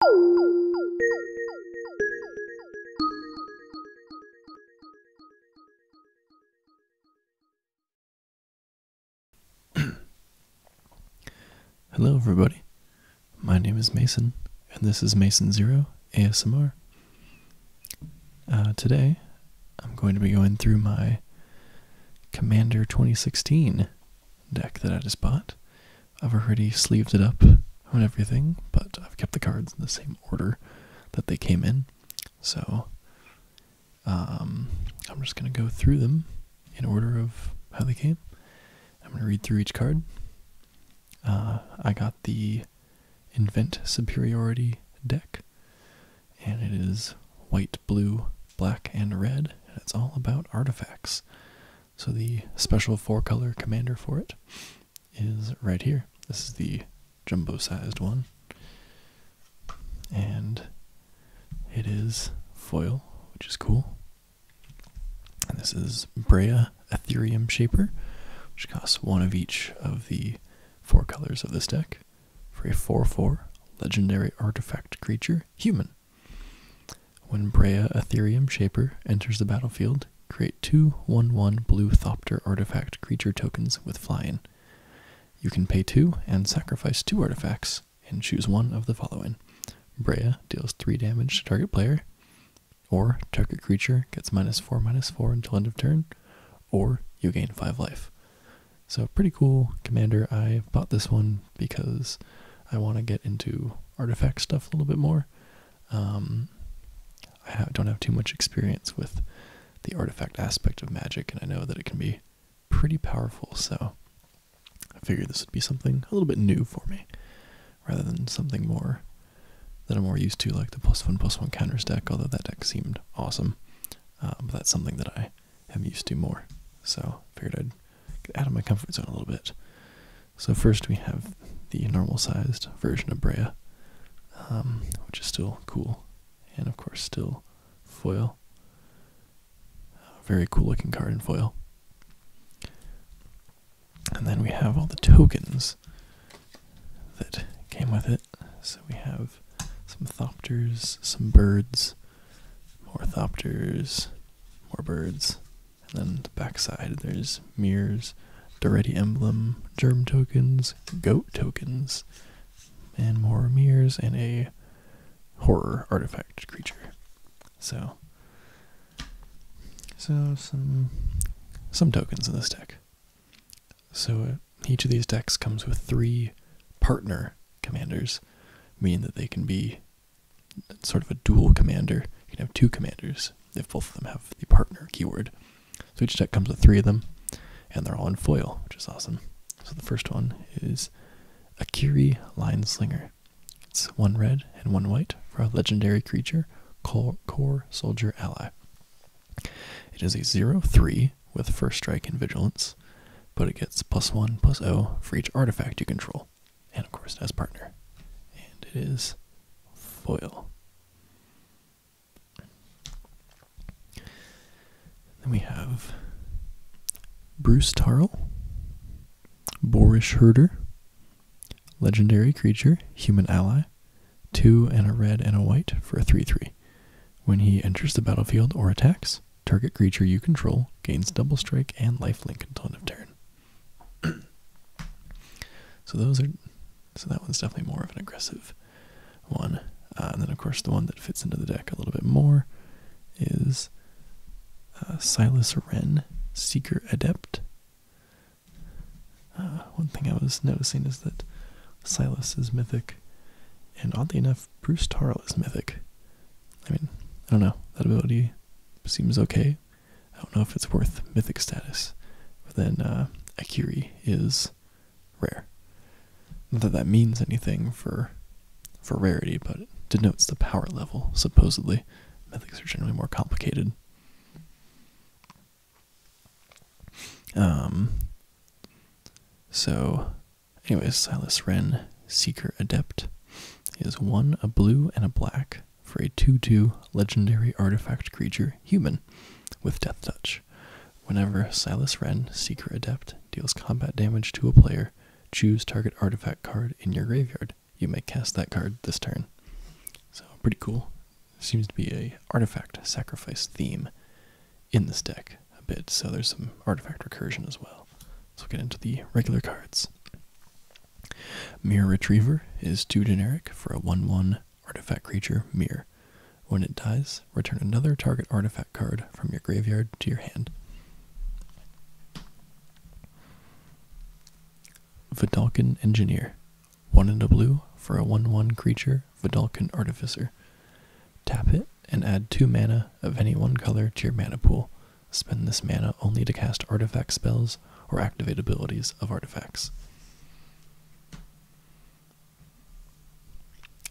Hello, everybody. My name is Mason, and this is Mason Zero ASMR. Uh, today, I'm going to be going through my Commander 2016 deck that I just bought. I've already sleeved it up on everything, but I've kept the cards in the same order that they came in. So um, I'm just going to go through them in order of how they came. I'm going to read through each card. Uh, I got the Invent Superiority deck, and it is white, blue, black, and red, and it's all about artifacts. So the special four color commander for it is right here. This is the jumbo sized one. And it is foil, which is cool. And this is Brea Ethereum Shaper, which costs one of each of the four colors of this deck for a 4 4 legendary artifact creature, human. When Brea Ethereum Shaper enters the battlefield, create two 1 1 blue Thopter artifact creature tokens with flying. You can pay two and sacrifice two artifacts and choose one of the following. Brea deals 3 damage to target player, or target creature gets minus 4 minus 4 until end of turn, or you gain 5 life. So, pretty cool commander. I bought this one because I want to get into artifact stuff a little bit more. Um, I have, don't have too much experience with the artifact aspect of magic, and I know that it can be pretty powerful, so I figured this would be something a little bit new for me, rather than something more that I'm more used to, like the plus one plus one counters deck, although that deck seemed awesome. Uh, but that's something that I am used to more, so figured I'd get out of my comfort zone a little bit. So first we have the normal sized version of Brea, um, which is still cool, and of course still foil. Very cool looking card in foil. And then we have all the tokens that came with it. So we have some thopters, some birds, more thopters, more birds, and then the backside, there's mirrors, Doretti emblem, germ tokens, goat tokens, and more mirrors, and a horror artifact creature. So, so some some tokens in this deck. So uh, each of these decks comes with three partner commanders, meaning that they can be sort of a dual commander. You can have two commanders if both of them have the partner keyword. So each deck comes with three of them, and they're all in foil, which is awesome. So the first one is Akiri Lineslinger. It's one red and one white for a legendary creature, Core, Soldier Ally. It is a 0-3 with First Strike and Vigilance, but it gets plus 1, plus 0 for each artifact you control and of course it has partner. And it is foil. Then we have Bruce Tarl, Boorish Herder, Legendary Creature, Human Ally, two and a red and a white for a 3 3. When he enters the battlefield or attacks, target creature you control gains double strike and lifelink until end of turn. so those are so that one's definitely more of an aggressive one. Uh, and then of course the one that fits into the deck a little bit more is uh, Silas Wren, Seeker Adept. Uh, one thing I was noticing is that Silas is mythic, and oddly enough, Bruce Tarl is mythic. I mean, I don't know. That ability seems okay, I don't know if it's worth mythic status, but then uh, Akiri is rare. Not that that means anything for for rarity, but it denotes the power level. Supposedly, mythics are generally more complicated. Um. So, anyways, Silas Wren, Seeker Adept, is one a blue and a black for a 2 2 legendary artifact creature, human, with Death Touch. Whenever Silas Wren, Seeker Adept, deals combat damage to a player, choose target artifact card in your graveyard. You may cast that card this turn. So, pretty cool. Seems to be a artifact sacrifice theme in this deck a bit, so there's some artifact recursion as well. So, we'll get into the regular cards. Mirror Retriever is too generic for a 1 1 artifact creature, Mirror. When it dies, return another target artifact card from your graveyard to your hand. Vidalcan Engineer. One in a blue for a 1 1 creature, Vidalcan Artificer. Tap it and add 2 mana of any one color to your mana pool. Spend this mana only to cast artifact spells or activate abilities of artifacts.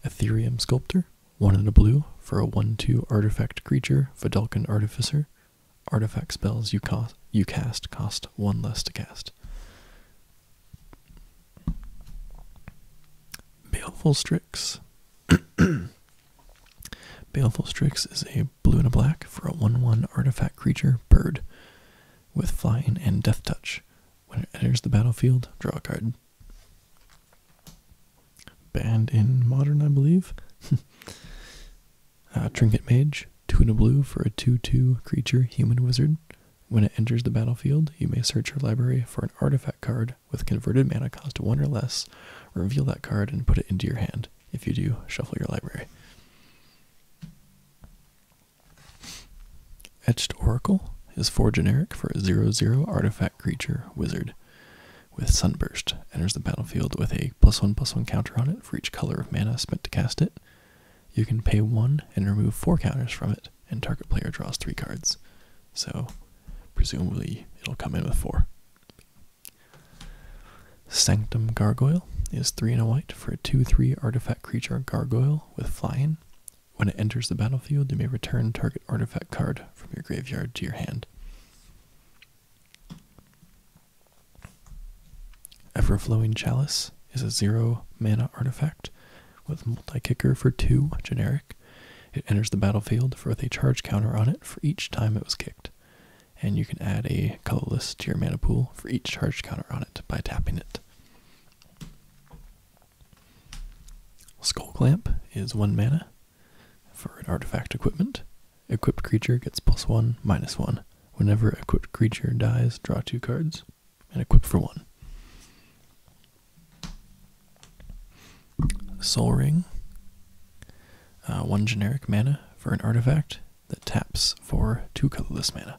Ethereum Sculptor, one in a blue for a 1 2 artifact creature, Vidalcan Artificer. Artifact spells you, cost, you cast cost one less to cast. Baleful Baleful Strix is a blue and a black for a 1 1 artifact creature, bird, with flying and death touch. When it enters the battlefield, draw a card. Banned in modern, I believe. Uh, Trinket Mage, 2 and a blue for a 2 2 creature, human wizard. When it enters the battlefield, you may search your library for an artifact card with converted mana cost 1 or less, reveal that card, and put it into your hand if you do shuffle your library. Etched Oracle is 4 generic for a 0 0 artifact creature wizard with Sunburst. Enters the battlefield with a plus 1 plus 1 counter on it for each color of mana spent to cast it. You can pay 1 and remove 4 counters from it, and target player draws 3 cards. So, presumably, it'll come in with 4 Sanctum Gargoyle is 3 in a white for a 2 3 artifact creature gargoyle with flying. When it enters the battlefield, you may return target artifact card from your graveyard to your hand. Everflowing Chalice is a 0 mana artifact with multi kicker for 2 generic. It enters the battlefield with a charge counter on it for each time it was kicked and you can add a colorless to your mana pool for each charged counter on it by tapping it. Skull Clamp is 1 mana for an artifact equipment. Equipped creature gets plus 1, minus 1. Whenever equipped creature dies, draw 2 cards and equip for 1. Soul Ring uh, one generic mana for an artifact that taps for two colorless mana.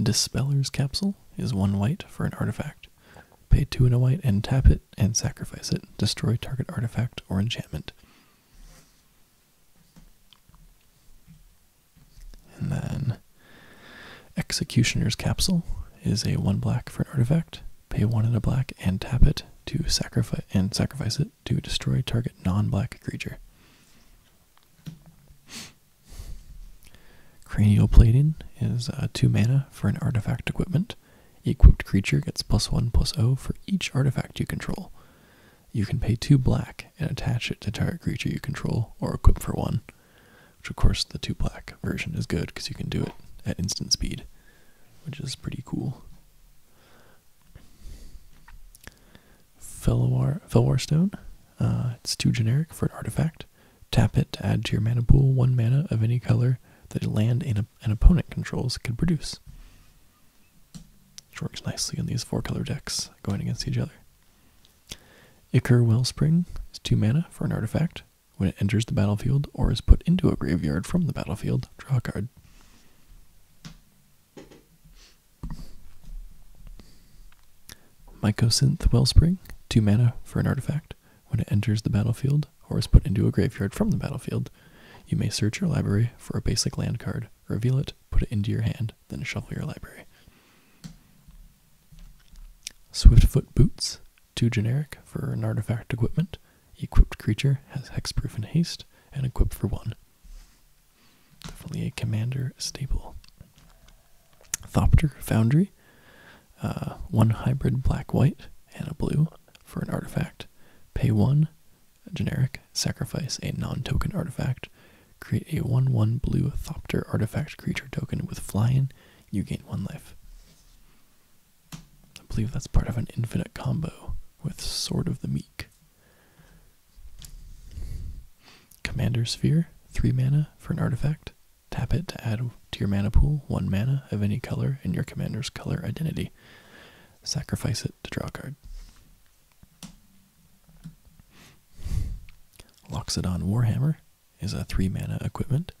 Dispeller's Capsule is one white for an artifact. Pay two and a white and tap it and sacrifice it. Destroy target artifact or enchantment. And then Executioner's Capsule is a one black for an artifact. Pay one in a black and tap it to sacrifice and sacrifice it to destroy target non-black creature. Cranial plating is uh, two mana for an artifact equipment. Equipped creature gets plus one plus O for each artifact you control. You can pay two black and attach it to target creature you control or equip for one. Which of course the two black version is good because you can do it at instant speed, which is pretty cool. Felwar, Felwar Stone. Uh, it's too generic for an artifact. Tap it to add to your mana pool one mana of any color that a land an opponent controls could produce. Which works nicely in these four color decks going against each other. Ichor Wellspring is two mana for an artifact. When it enters the battlefield or is put into a graveyard from the battlefield, draw a card. Mycosynth Wellspring, 2 mana for an artifact. When it enters the battlefield or is put into a graveyard from the battlefield, you may search your library for a basic land card, reveal it, put it into your hand, then shuffle your library. Swiftfoot Boots, too generic for an artifact equipment. Equipped creature has hexproof and haste, and equipped for one. Definitely a commander staple. Thopter Foundry. Uh, one hybrid black white and a blue for an artifact. Pay one, generic, sacrifice a non token artifact. Create a 1 1 blue Thopter artifact creature token with flying. You gain one life. I believe that's part of an infinite combo with Sword of the Meek. Commander Sphere, 3 mana for an artifact. Tap it to add to your mana pool 1 mana of any color in your commander's color identity. Sacrifice it to draw a card. Loxodon Warhammer, is a 3 mana equipment.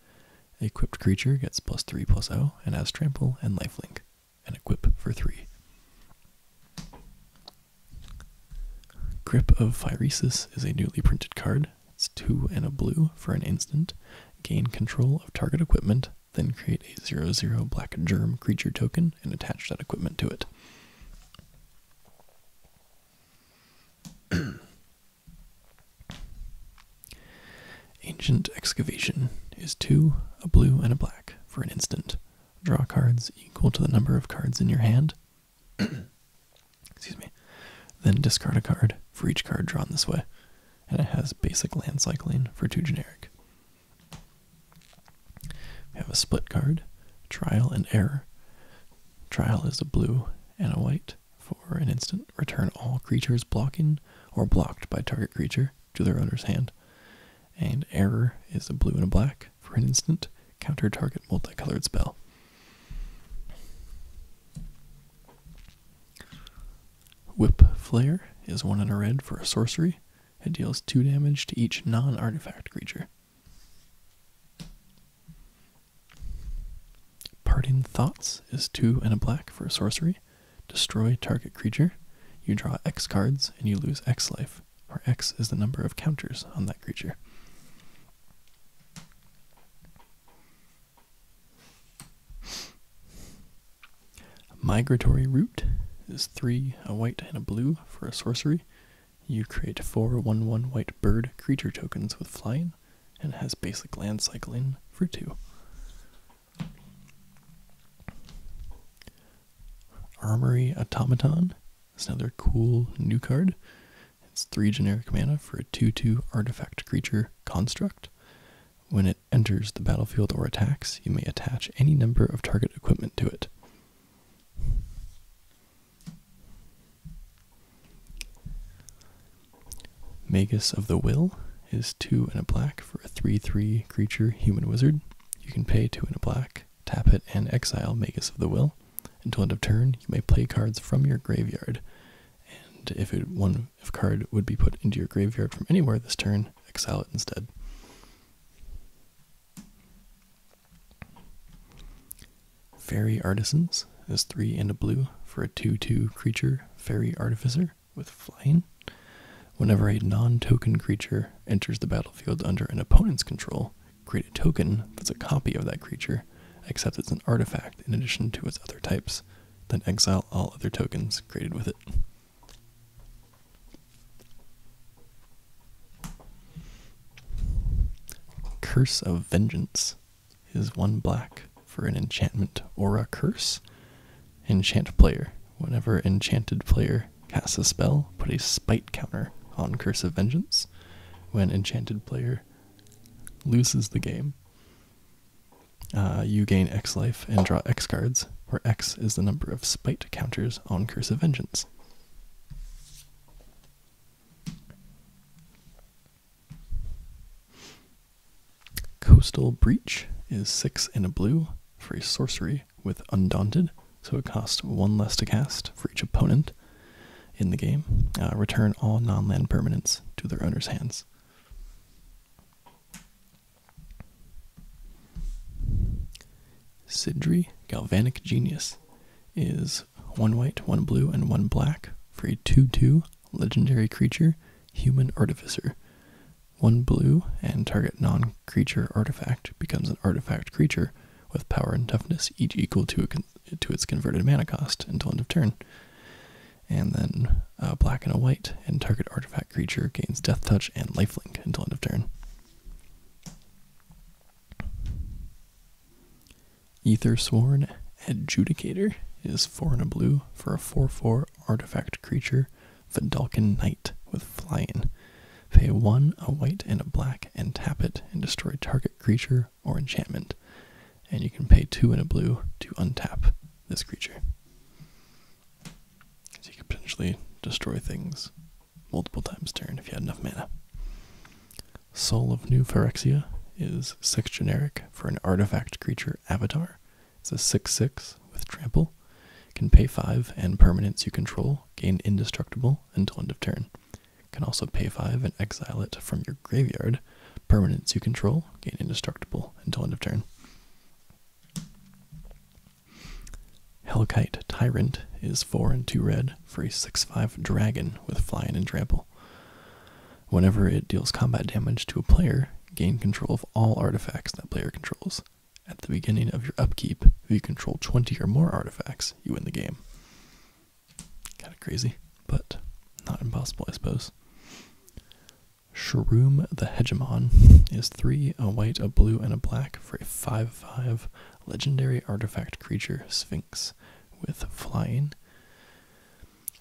Equipped creature gets plus 3 plus 0 and has trample and lifelink, and equip for 3. Grip of Phyresis is a newly printed card. It's 2 and a blue for an instant. Gain control of target equipment, then create a 0 0 black germ creature token and attach that equipment to it. Ancient excavation is two, a blue, and a black for an instant. Draw cards equal to the number of cards in your hand. Excuse me. Then discard a card for each card drawn this way. And it has basic land cycling for two generic. We have a split card, trial and error. Trial is a blue and a white. For an instant, return all creatures blocking or blocked by target creature to their owner's hand. And error is a blue and a black. For an instant, counter target multicolored spell. Whip Flare is one and a red for a sorcery. It deals two damage to each non artifact creature. Parting Thoughts is two and a black for a sorcery. Destroy target creature. You draw X cards and you lose X life, where X is the number of counters on that creature. Migratory Root is three, a white and a blue for a sorcery. You create four 1 white bird creature tokens with flying and has basic land cycling for two. Armory Automaton is another cool new card. It's three generic mana for a 2 2 artifact creature construct. When it enters the battlefield or attacks, you may attach any number of target equipment to it. Magus of the Will is two and a black for a 3 3 creature human wizard. You can pay two and a black, tap it, and exile Magus of the Will. Until end of turn, you may play cards from your graveyard. And if one if card would be put into your graveyard from anywhere this turn, exile it instead. Fairy artisans defense is 3 and a blue for a 2 2 creature, Fairy Artificer, with flying. Whenever a non token creature enters the battlefield under an opponent's control, create a token that's a copy of that creature, except it's an artifact in addition to its other types, then exile all other tokens created with it. Curse of Vengeance is one black for an enchantment or a curse. Enchant player. Whenever enchanted player casts a spell, put a spite counter on Curse of Vengeance. When enchanted player loses the game, uh, you gain X life and draw X cards, where X is the number of spite counters on Curse of Vengeance. Coastal Breach is six in a blue free sorcery with Undaunted, so it costs one less to cast for each opponent in the game. Uh, return all non land permanents to their owner's hands. Sidri Galvanic Genius is one white, one blue, and one black free 2 2 Legendary creature, Human Artificer. One blue and target non creature artifact becomes an artifact creature with power and toughness each equal to, its converted mana cost until end of turn. And then uh, black and a white, and target artifact creature gains Death Touch and Lifelink until end of turn. Ether Sworn Adjudicator is four in a blue for a 4 4 artifact creature, Vidalcan Knight with flying. Pay one, a white, and a black, and tap it and destroy target creature or enchantment. And you can pay two in a blue to untap this creature. So you could potentially destroy things multiple times turn if you had enough mana. Soul of New Phyrexia is six generic for an artifact creature avatar. is a 6 6 with trample. Can pay 5 and permanence you control gain indestructible until end of turn. Can also pay 5 and exile it from your graveyard. Permanence you control gain indestructible until end of turn. Hellkite Tyrant is 4 and 2 red Free 6 5 dragon with fly and trample. Whenever it deals combat damage to a player, gain control of all artifacts that player controls. At the beginning of your upkeep, if you control 20 or more artifacts, you win the game. Kind of crazy, but not impossible, I suppose. Shroom the Hegemon is 3, a white, a blue, and a black for a 5 5 legendary artifact creature Sphinx with flying.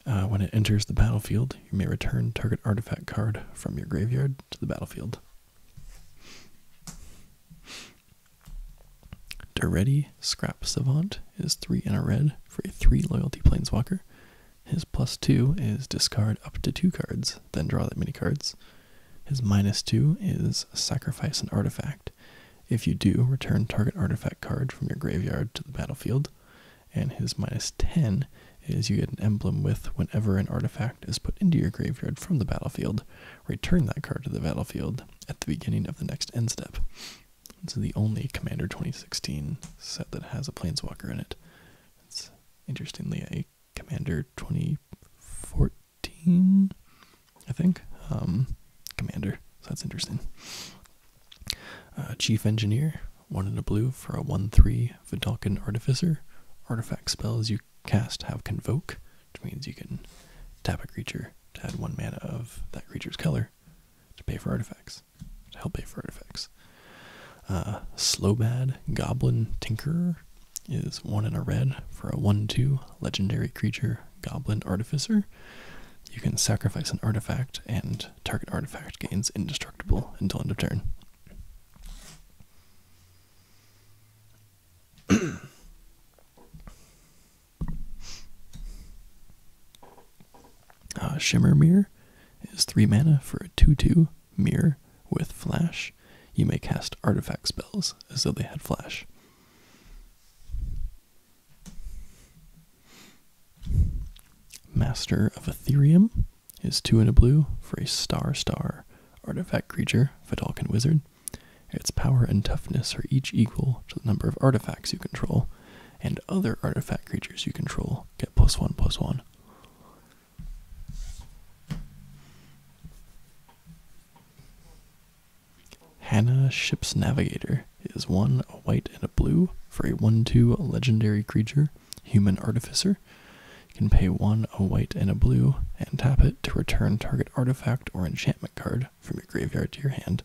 Uh, when it enters the battlefield, you may return target artifact card from your graveyard to the battlefield. Duretti Scrap Savant is 3 and a red for a 3 loyalty planeswalker. His plus 2 is discard up to 2 cards, then draw that many cards. His minus 2 is sacrifice an artifact. If you do, return target artifact card from your graveyard to the battlefield and his minus 10 is you get an emblem with whenever an artifact is put into your graveyard from the battlefield, return that card to the battlefield at the beginning of the next end step. It's the only Commander 2016 set that has a Planeswalker in it. It's interestingly a Commander 2014, I think. Um, Commander, so that's interesting. Uh, chief Engineer, one in a blue for a 1-3 Vidalcan Artificer. Artifact spells you cast have Convoke, which means you can tap a creature to add one mana of that creature's color to pay for artifacts, to help pay for artifacts. Uh, Slowbad Goblin Tinker is one in a red for a 1-2 legendary creature Goblin Artificer. You can sacrifice an artifact and target artifact gains indestructible until end of turn. Uh, Shimmer Mirror is 3 mana for a 2 2 mirror with flash. You may cast artifact spells as though they had flash. Master of Ethereum is two and a blue for a star star artifact creature, Fidalkin Wizard. Its power and toughness are each equal to the number of artifacts you control, and other artifact creatures you control get plus one plus one. Hannah Ship's Navigator is one, a white and a blue, for a 1 2 legendary creature, Human Artificer. can pay one, a white and a blue, and tap it to return target artifact or enchantment card from your graveyard to your hand.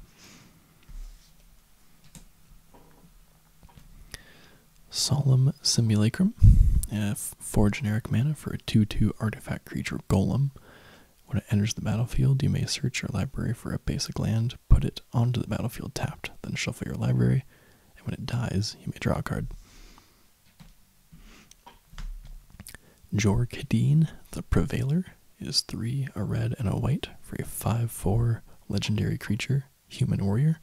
Solemn Simulacrum, uh, four generic mana for a 2 2 artifact creature golem. When it enters the battlefield, you may search your library for a basic land, put it onto the battlefield tapped, then shuffle your library, and when it dies, you may draw a card. Jor Kadeen, the Prevailer, is three, a red, and a white for a 5 4 legendary creature, Human Warrior.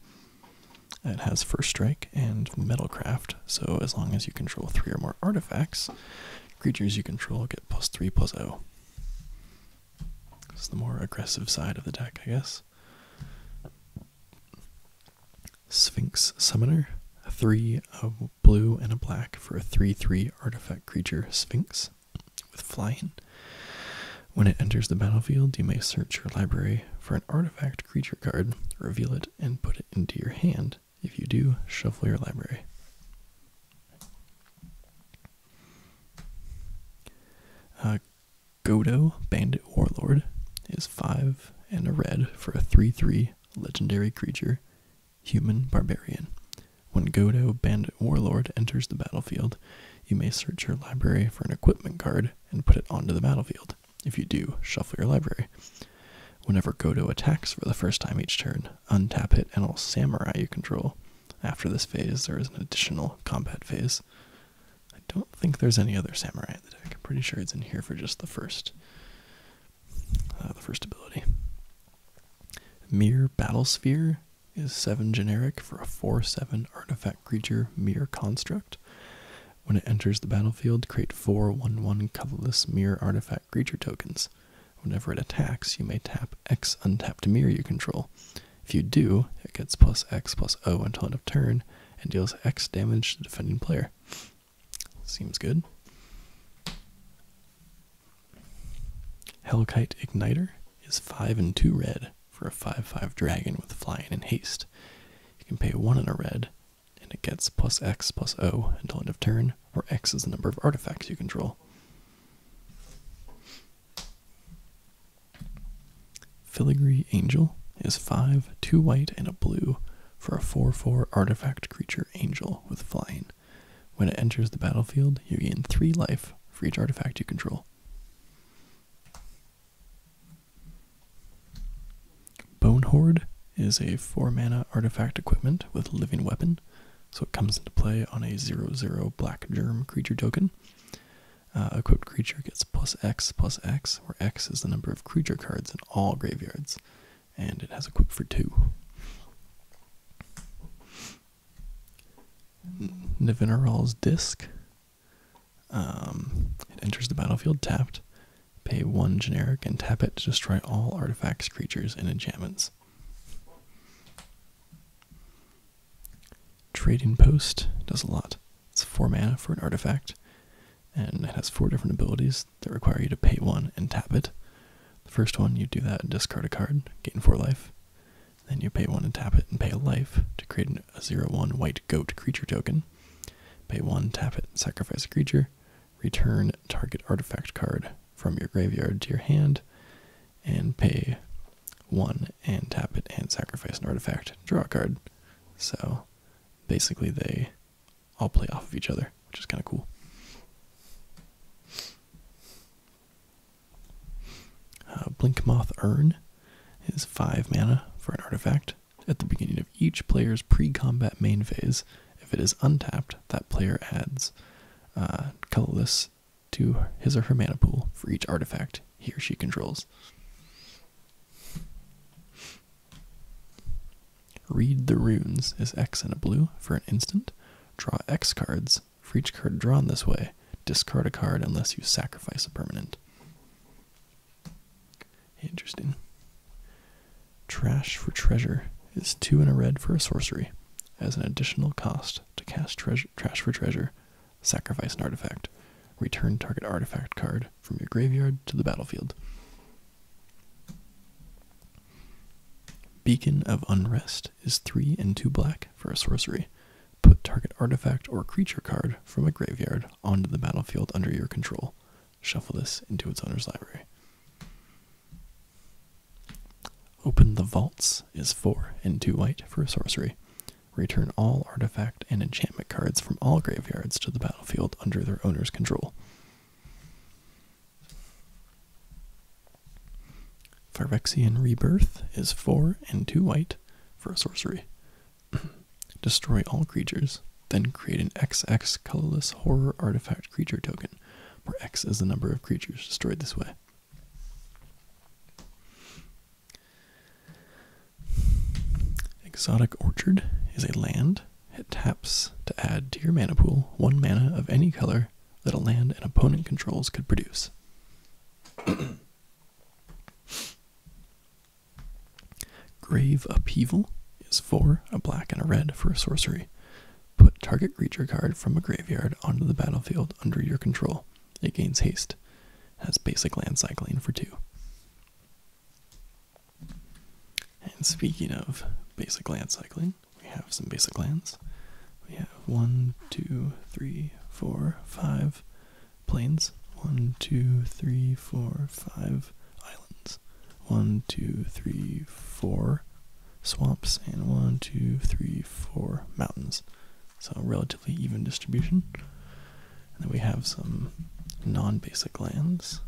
It has First Strike and Metalcraft, so as long as you control three or more artifacts, creatures you control get plus 3 plus 0. It's the more aggressive side of the deck, I guess. Sphinx Summoner. Three, of blue, and a black for a 3 3 artifact creature, Sphinx, with flying. When it enters the battlefield, you may search your library for an artifact creature card, reveal it, and put it into your hand. If you do, shuffle your library. Uh, Godo, Bandit Warlord, is 5 and a red for a 3 3 legendary creature, Human Barbarian. When Godo, Bandit Warlord enters the battlefield, you may search your library for an equipment card and put it onto the battlefield. If you do, shuffle your library. Whenever Godo attacks for the first time each turn, untap it and all samurai you control. After this phase, there is an additional combat phase. I don't think there's any other samurai in the deck. I'm pretty sure it's in here for just the first, uh, the first ability. Mere Battlesphere is seven generic for a four-seven artifact creature. Mere construct. When it enters the battlefield, create four one-one colorless mere artifact creature tokens. Whenever it attacks, you may tap X untapped mirror you control. If you do, it gets plus X plus O until end of turn and deals X damage to the defending player. Seems good. Hellkite Igniter is 5 and 2 red for a 5 5 dragon with flying and haste. You can pay 1 and a red, and it gets plus X plus O until end of turn, where X is the number of artifacts you control. Filigree Angel is 5, 2 white, and a blue for a 4 4 artifact creature angel with flying. When it enters the battlefield, you gain 3 life for each artifact you control. Bone Horde is a 4 mana artifact equipment with Living Weapon, so it comes into play on a 0 0 black germ creature token. A uh, equipped creature gets plus X plus X, where X is the number of creature cards in all graveyards, and it has equipped for two. Nivinaral's Disc. Um, it enters the battlefield tapped. Pay one generic and tap it to destroy all artifacts, creatures, and enchantments. Trading Post does a lot. It's four mana for an artifact, and it has four different abilities that require you to pay one and tap it. The first one, you do that and discard a card, gain four life. Then you pay one and tap it and pay a life to create a zero-one white goat creature token. Pay one, tap it, sacrifice a creature, return target artifact card from your graveyard to your hand, and pay one and tap it and sacrifice an artifact, draw a card. So basically, they all play off of each other, which is kind of cool. Uh, Blinkmoth Urn is 5 mana for an artifact. At the beginning of each player's pre combat main phase, if it is untapped, that player adds uh, colorless to his or her mana pool for each artifact he or she controls. Read the runes is X and a blue for an instant. Draw X cards. For each card drawn this way, discard a card unless you sacrifice a permanent. Interesting. Trash for treasure is two and a red for a sorcery as an additional cost to cast Trash for Treasure Sacrifice an artifact. Return target artifact card from your graveyard to the battlefield. Beacon of Unrest is 3 and 2 black for a sorcery. Put target artifact or creature card from a graveyard onto the battlefield under your control. Shuffle this into its owner's library. Open the Vaults is 4 and 2 white for a sorcery. Return all artifact and enchantment cards from all graveyards to the battlefield under their owner's control. Phyrexian Rebirth is 4 and 2 white for a sorcery. Destroy all creatures, then create an XX colorless horror artifact creature token, where X is the number of creatures destroyed this way. Exotic Orchard is a land. that taps to add to your mana pool one mana of any color that a land an opponent controls could produce. Grave Upheaval is for a black and a red for a sorcery. Put target creature card from a graveyard onto the battlefield under your control. It gains haste has basic land cycling for two. And speaking of basic land cycling, we have some basic lands. We have one, two, three, four, five plains. One, two, three, four, five islands. One, two, three, four swamps. And one, two, three, four mountains. So, relatively relatively even distribution. And then we have some non-basic lands.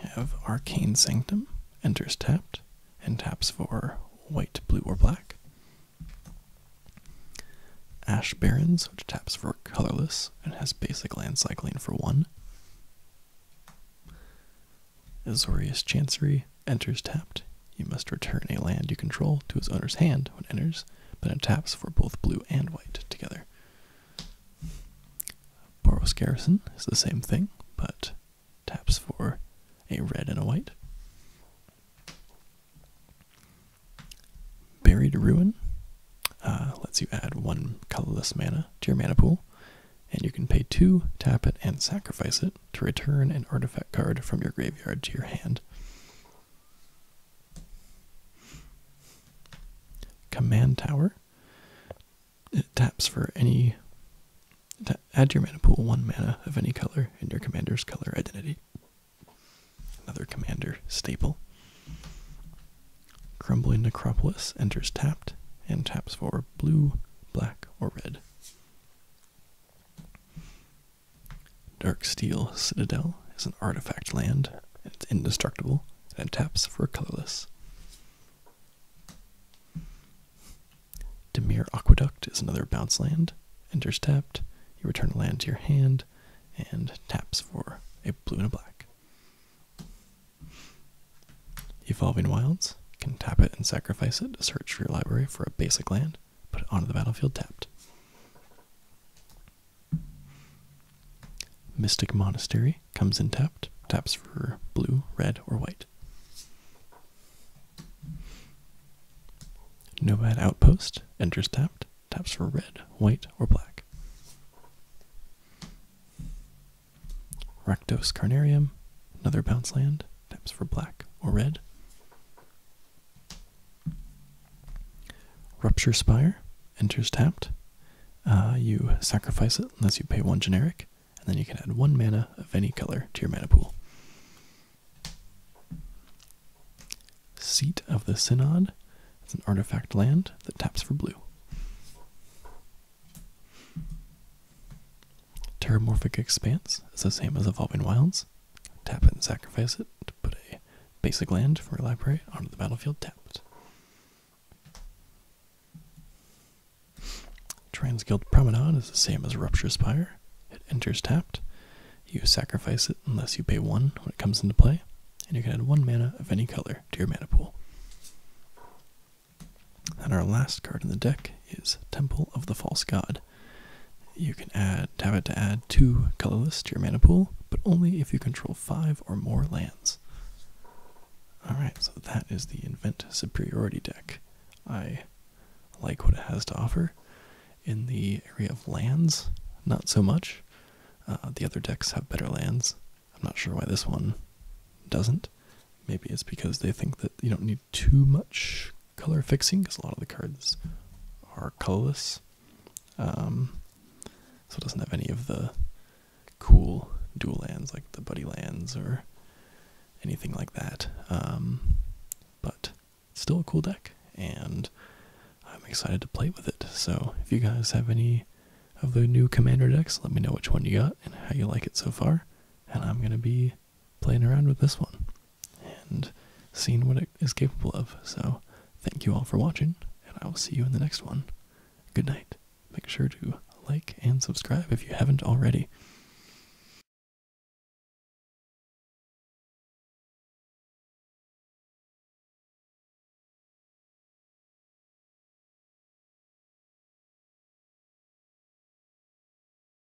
have Arcane Sanctum, enters tapped, and taps for white, blue, or black. Ash Barrens, which taps for colorless and has basic land cycling for one. Azorius Chancery enters tapped. You must return a land you control to its owner's hand when it enters, but it taps for both blue and white together. Boros Garrison is the same thing, but taps for a red and a white. Buried Ruin uh, lets you add one colorless mana to your mana pool, and you can pay two, tap it, and sacrifice it to return an artifact card from your graveyard to your hand. Command Tower. It taps for any. Add to your mana pool one mana of any color in your commander's color identity. Another commander staple. Crumbling Necropolis enters tapped and taps for blue, black, or red. Dark Steel Citadel is an artifact land, and it's indestructible, and it taps for colorless. Demir Aqueduct is another bounce land. Enters tapped, you return a land to your hand, and taps for a blue and a black. Evolving Wilds can tap it and sacrifice it to search your library for a basic land. Put it onto the battlefield tapped. Mystic Monastery comes in tapped. Taps for blue, red, or white. Nomad Outpost enters tapped. Taps for red, white, or black. Rectos Carnarium, another bounce land times for black or red. Rupture Spire enters tapped. Uh, you sacrifice it unless you pay one generic, and then you can add one mana of any color to your mana pool. Seat of the Synod. is an artifact land that taps for blue. Terramorphic Expanse is the same as Evolving Wilds. Tap it and sacrifice it to put a basic land from your library onto the battlefield tapped. Transguild Promenade is the same as Rupture Spire. It enters tapped. You sacrifice it unless you pay one when it comes into play, and you can add one mana of any color to your mana pool. And our last card in the deck is Temple of the False God. You can add tap to add two colorless to your mana pool, but only if you control five or more lands. Alright, so that is the Invent Superiority deck. I like what it has to offer. In the area of lands, not so much. Uh, the other decks have better lands. I'm not sure why this one doesn't. Maybe it's because they think that you don't need too much color fixing because a lot of the cards are colorless. Um, so it doesn't have any of the cool dual lands like the buddy lands or anything like that. Um, but still a cool deck, and I'm excited to play with it. So if you guys have any of the new commander decks, let me know which one you got and how you like it so far. And I'm going to be playing around with this one and seeing what it is capable of. So, thank you all for watching, and I will see you in the next one. Good night. Make sure to like and subscribe if you haven't already.